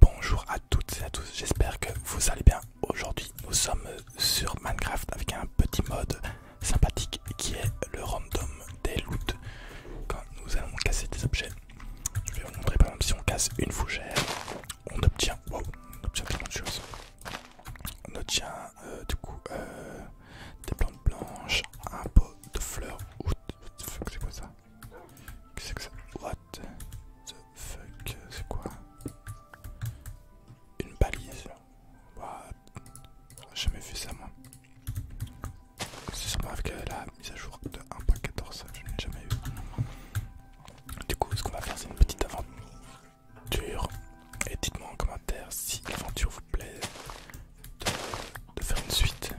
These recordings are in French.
Bonjour à toutes et à tous, j'espère que vous allez bien. Aujourd'hui nous sommes sur Minecraft avec un petit mode sympathique qui est le random des loots Quand nous allons casser des objets, je vais vous montrer par exemple si on casse une fougère, on obtient, waouh, on obtient de choses. On obtient euh, du coup euh, des plantes blanches, un pot de fleurs. c'est quoi ça Qu'est-ce que c'est the fuck C'est quoi Une balise J'aurais jamais vu ça moi. C'est sûrement avec la mise à jour de 1.14, je n'ai jamais eu. Du coup, ce qu'on va faire, c'est une petite aventure. Et dites-moi en commentaire si l'aventure vous plaît de, faire une suite.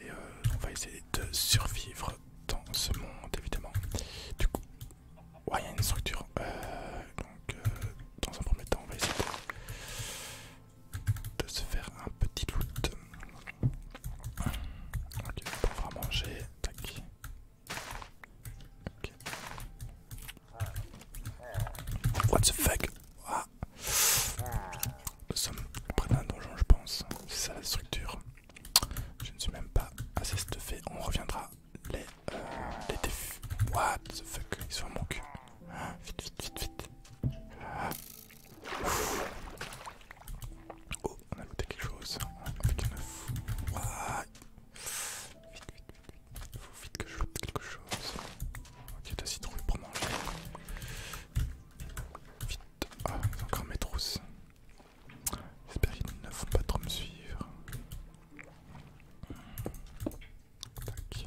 Et euh, on va essayer de survivre dans ce monde évidemment. Du coup, il y a une structure. Euh, donc, euh, dans un premier temps, on va essayer de, se faire un petit loot. Ok, on va manger. Tac. What the fuck? Ah nous sommes près d'un donjon, je pense. C'est ça la structure. Je ne suis même pas assez stuffé. On reviendra. Les, euh, défus. What the fuck Ils sont en mon cul. Ah, vite, vite, vite, vite. Ah. Oh, on a goûté quelque chose. Avec un oeuf. Vite, vite, vite. Faut vite que je goûte quelque chose. Ok, deux citrouilles pour manger. Vite, ah, encore mes trousses. J'espère qu'ils ne faut pas trop me suivre. Tac.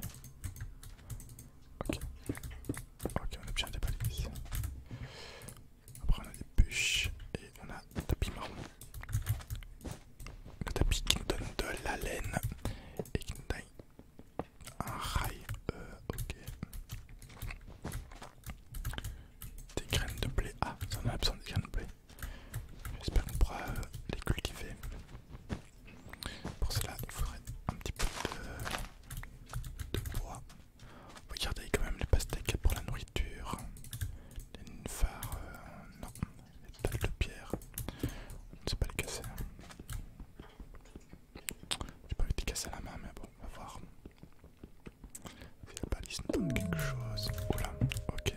Ok. Ok, on a bien des balises. Après, on a des bûches et on a des tapis marron. Le tapis qui nous donne de la laine et qui nous donne un rail. Euh, ok. Des graines de blé. Ah, ça a besoin des graines de blé. J'espère qu'on pourra euh, les cultiver. Pour cela, il faudrait un petit peu de, bois. Regardez quand même les pastèques pour la nourriture. Les phares, euh, non, les dalles de pierre. On ne sait pas les casser. J'ai pas vu de casser à la main, mais bon, on va voir. Si la balise nous donne quelque chose. Oula, ok.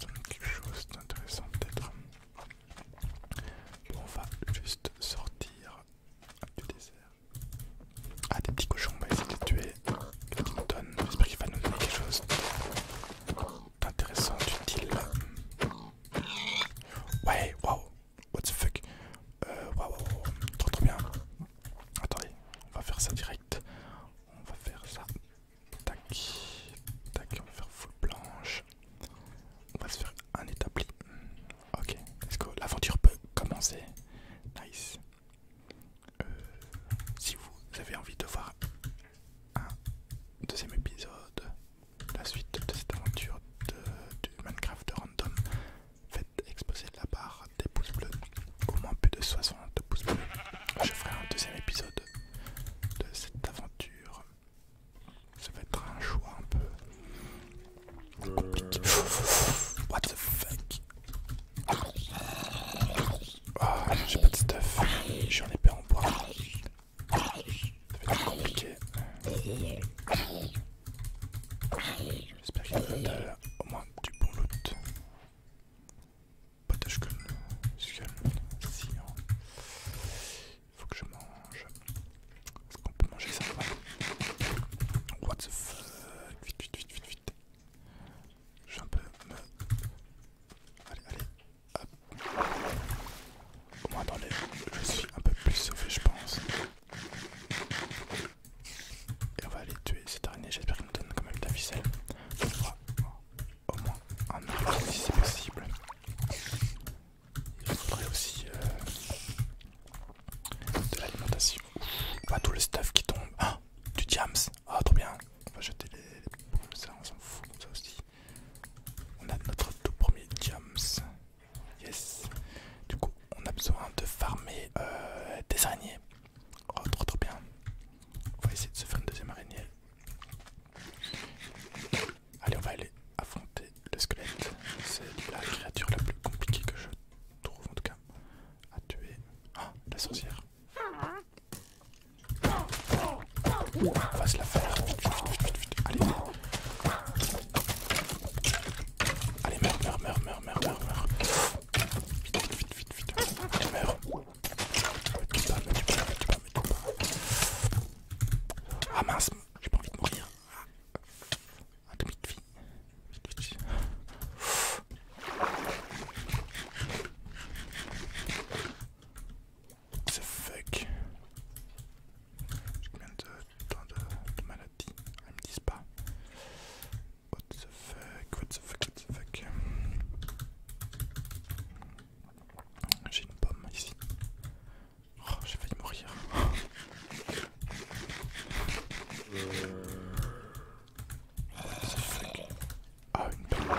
Donne quelque chose d'intéressant peut-être. Bon, on va juste sortir du désert. Ah, des petits cochons, on va essayer de les tuer. nous donne j'espère qu'il va nous donner quelque chose d'intéressant, d'utile. Ouais, waouh, What the fuck euh, wow Waouh, trop trop bien. Attendez, on va faire ça direct. On va faire ça. Tac, tac, on va faire full blanche. On va se faire un établi. Ok, Est-ce que L'aventure peut commencer. Nice. Euh, si vous avez envie de voir un deuxième épisode, la suite de cette aventure de, de Minecraft random, Faites exploser la barre des pouces bleus, au moins plus de 60 pouces bleus. Je ferai un deuxième épisode de cette aventure. Ça va être un choix un peu compliqué. Euh. What the fuck? Oh, j'ai pas de stuff. J'ai un épée en bois. Ça va être compliqué. J'espère qu'il y a au moins du bon loot. Si skull, Il Faut que je mange. Est-ce qu'on peut manger ça What the fuck Vite, vite, vite, vite, vite. Je vais un peu me. Allez, allez. Hop. Au moins dans les. Je suis un peu plus sauvé, je pense. Et on va aller tuer cette araignée. J'espère qu'il nous donne quand même de la ficelle. au moins un arbre si c'est possible. Il faudrait aussi euh, de l'alimentation. Pas tout le stuff qui tombe. Ah, du jams. Ah, trop bien. On va jeter les, les... ça, on s'en fout comme ça aussi. On a notre tout premier jams. Yes. Du coup, on a besoin de farmer euh, des araignées. Oh, trop trop bien. On va essayer de se faire une deuxième araignée. Allez, on va aller affronter le squelette. C'est la créature la plus compliquée que je trouve, en tout cas, à tuer. Ah, la sorcière. On va se la faire. Allez. Allez, meurs, meurs, meurs, meurs, meurs, meurs, Vite, vite, vite, vite, vite. meurs meurt. pas, Ah mince, j'ai pas envie de mourir. demi de vie. Vite, j'ai combien de temps de, maladie Elles me disent pas. What the fuck, what the fuck, what the fuck. J'ai une pomme ici. Oh, j'ai failli mourir. What the fuck. Ah, une pomme.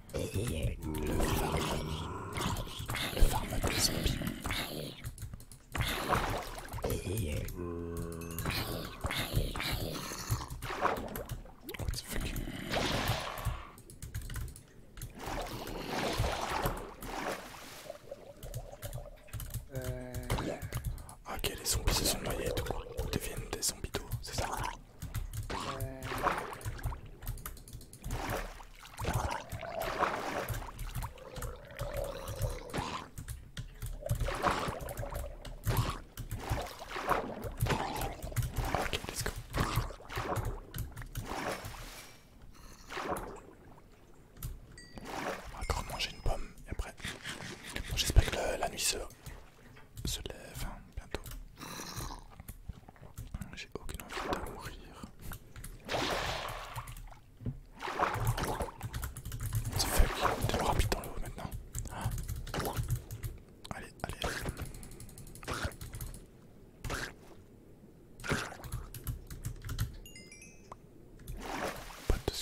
eh. le ah, zombie. Ok, les zombies se sont noyés et tout, deviennent des zombies d'eau, c'est ça euh, encore manger une pomme et après. J'espère que la, nuit se lève. Hein bientôt. J'ai aucune envie de mourir. C'est tu le rapide dans l'eau maintenant. Ah. Allez, allez, Pas de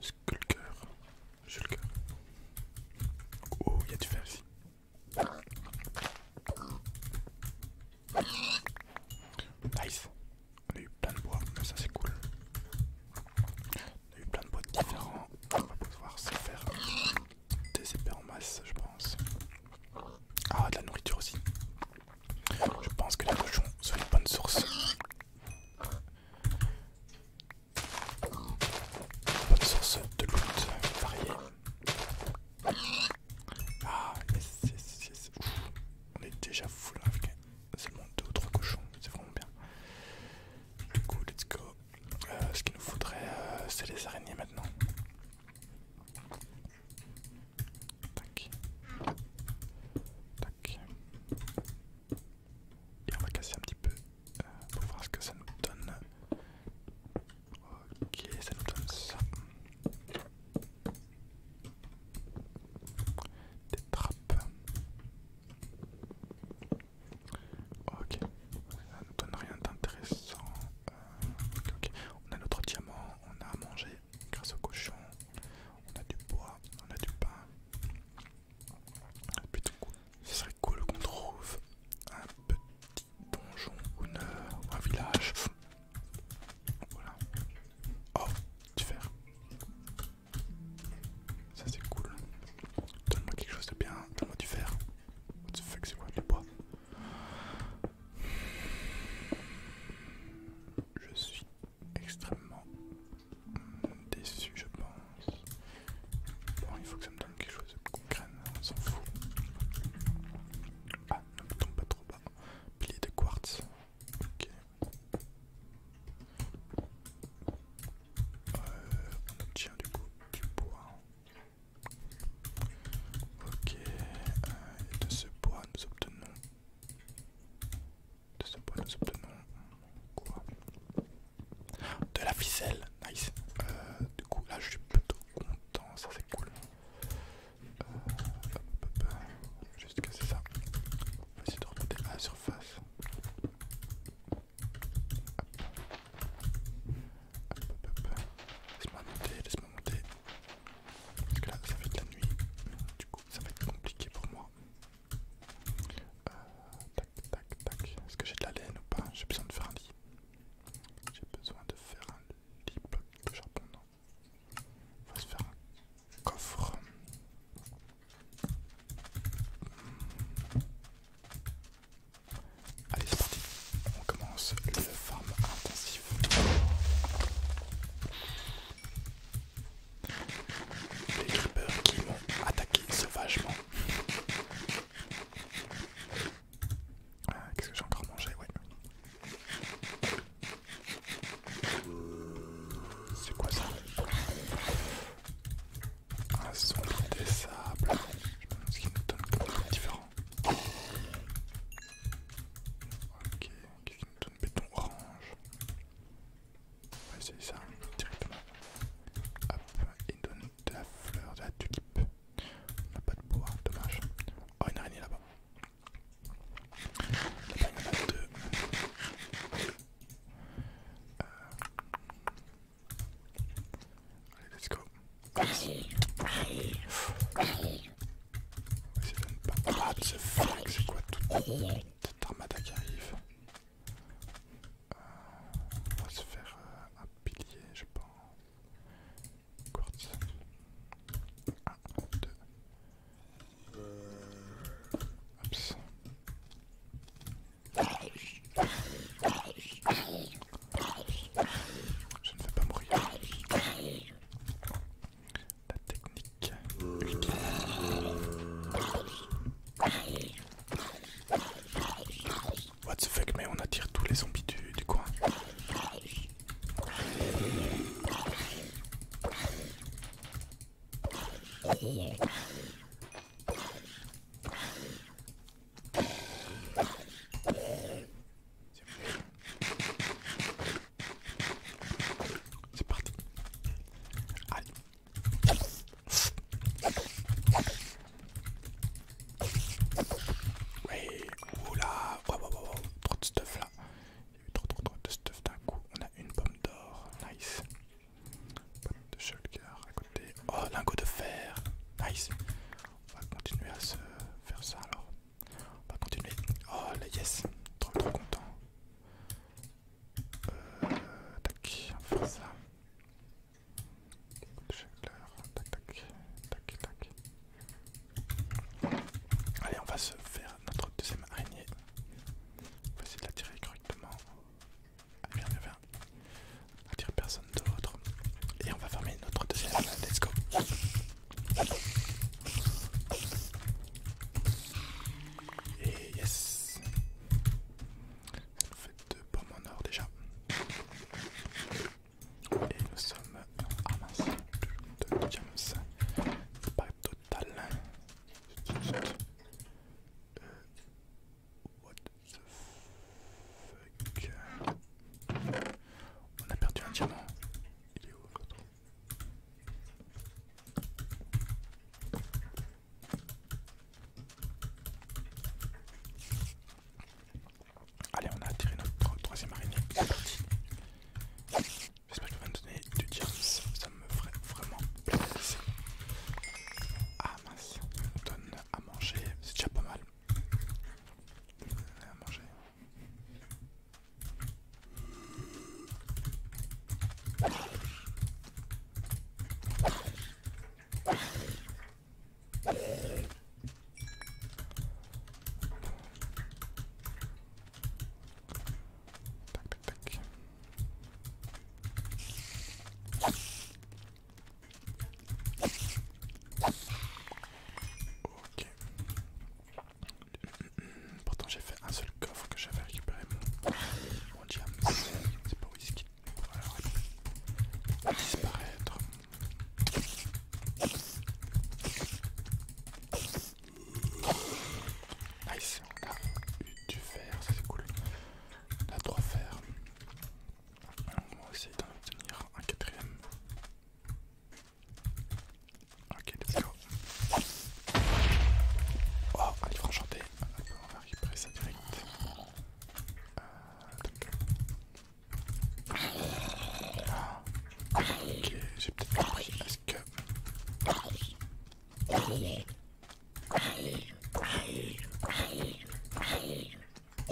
Sculker J'ai le Oh, il y a du fer Nice. On a eu plein de bois, ça c'est cool. On a eu plein de bois différents. On va pouvoir se faire des épées en masse, je pense. Ah, de la nourriture aussi. Je pense que les cochons sont une bonne source. Bonne source de loot variée. Ah, on est déjà full avec seulement 2 ou 3 cochons, mais c'est vraiment bien. Du coup, let's go. Euh, ce qu'il nous faudrait, euh, c'est les araignées maintenant. Tac. Tac. Et on va casser un petit peu euh, pour voir ce que ça nous donne. Ok, ça nous donne ça. Des trappes. Ok, ça nous donne rien d'intéressant. Euh, on a notre diamant, on a à manger grâce au cochon, on a du bois, on a du pain. C'est plutôt cool. Ce serait cool qu'on trouve un petit donjon ou, un village. Voilà. Oh, du fer. Ça c'est cool. Donne-moi quelque chose de bien. Donne-moi du fer. What the fuck, c'est quoi le bois Je suis extrêmement déçu, je pense. Bon, il faut que ça me donne quelque chose qu'on craigne, on s'en fout. Ah, ne tombe pas trop bas. Pilier de quartz. Ok. Euh, on obtient du coup du bois. Ok. et euh, de ce bois, nous obtenons. De ce bois, nous obtenons. Quoi De la ficelle. Nice. Euh, du coup, là, je suis plutôt content, ça c'est cool. Euh, Juste casser ça. On va essayer de remonter à la surface. Laisse-moi monter, laisse-moi monter. Parce que là, ça fait de la nuit. Du coup, ça va être compliqué pour moi. Euh, tac, tac, tac. Est-ce que j'ai de la laine ou pas J'ai besoin de faire un lit. J'ai besoin de faire un lit bloc de charbon, On va se faire un coffre. Allez, c'est parti. On commence le farm intensif. Les creepers qui m'ont attaqué sauvagement. Euh, qu'est-ce que j'ai encore mangé Oui. C'est quoi ça Un sol des sables. Je me ce qu'il nous donne comme différent. Ok, qu'est-ce qu'il nous donne Béton orange. On va essayer ça directement. Hop, il donne de la fleur, de la tulipe. On n'a pas de bois, dommage. Oh, une araignée là-bas. Là-bas, il y en a deux. Euh. Allez, let's go. Pas... What the fuck, c'est quoi toute cette armada qui arrive euh, On va se faire euh, un pilier, je pense. quartz. 1, 2. Oups. Je ne vais pas mourir. La technique. What the fuck, mais on attire tous les zombies du, du coin. C'est parti. Allez. Ouais, oula, trop de stuff là. Il y a eu trop, trop, trop de stuff d'un coup. On a une pomme d'or, nice. Pomme de shulker à côté. Oh, lingot de fer, nice. On va continuer à se faire ça alors. On va continuer. Oh, la yes, trop, trop content. Euh, tac, on va faire ça. Allez, on va se faire notre deuxième araignée. On va essayer de la tirer correctement. Allez, viens, viens, Attire personne d'autre. Et on va fermer notre deuxième. Let's go. Et yes. Ça fait deux pommes en or déjà. Et nous sommes en train de diamants, le diamant 5. C'est pas total. Hein. Euh, what the fuck On a perdu un diamant. Il est où l'autre Allez, on a attiré notre troisième araignée. C'est parti. J'espère que va nous me donner du diable. Ça me ferait vraiment plaisir. Ah mince, on donne à manger. C'est déjà pas mal. À manger. Pourtant j'ai fait un seul coffre que j'avais récupéré mon, mon jam. C'est pas whisky alors, va Disparaître. Nice, on a eu du fer, ça c'est cool. On a trois fer. On va essayer d'en obtenir un quatrième. Ok, let's go. Oh, un livre enchanté. On va récupérer ça direct. Euh, Ok, j'ai peut-être compris. Est-ce que.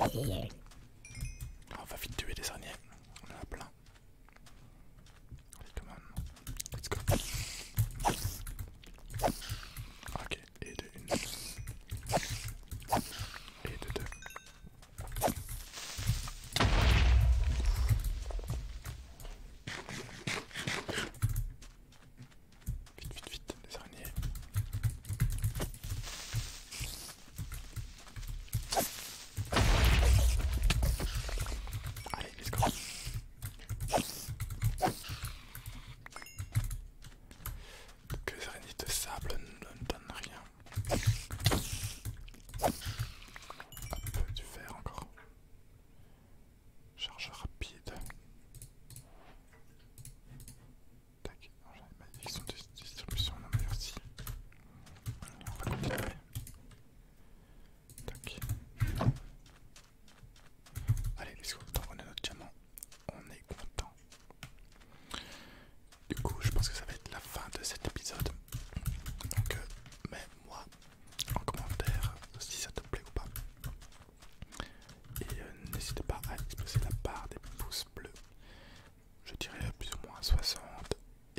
Oh, on va vite tuer les araignées. On en a plein. Allez, come on. Let's go. Ok, et de et de Vite, vite, vite, les Allez, let's que les araignées de sable ne donnent rien. Un peu du fer encore. Charge rapide. Tac, oh, j'ai une pas distribution, non aussi. On va continuer. Tac. Allez, est-ce que vous t'envoyez notre diamant. On est content. Du coup, je pense que ça va être la fin de cet épisode. Donc, euh, mets-moi en commentaire si ça te plaît ou pas. Et euh, n'hésite pas à exposer la part des pouces bleus. Je dirais plus ou moins 60.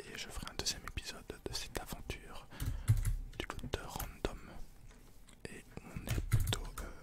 Et je ferai un deuxième épisode de cette aventure du côté de random. Et on est plutôt euh,